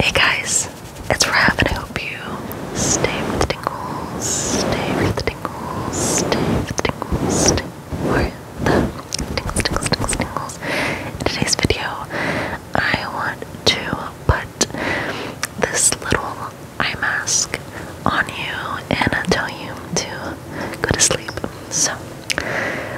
Hey guys, it's Rav and I hope you stay with the tingles, stay with the tingles, stay with the tingles, stay with the tingles, tingles, tingles, tingles. In today's video, I want to put this little eye mask on you and I'll tell you to go to sleep. So,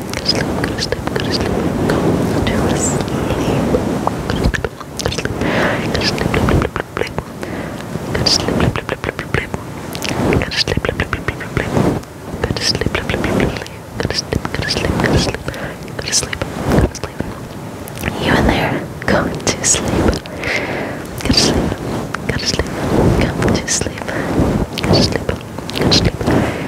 Go to sleep, go to sleep, go to sleep. Go to sleep. Go to sleep, go to sleep, go to sleep, go to sleep, go to sleep, go to sleep, go to sleep, go to sleep, go to sleep, go to sleep, go to sleep. You in there, go to sleep. Go to sleep, go to sleep, go to sleep, go to sleep, go to sleep.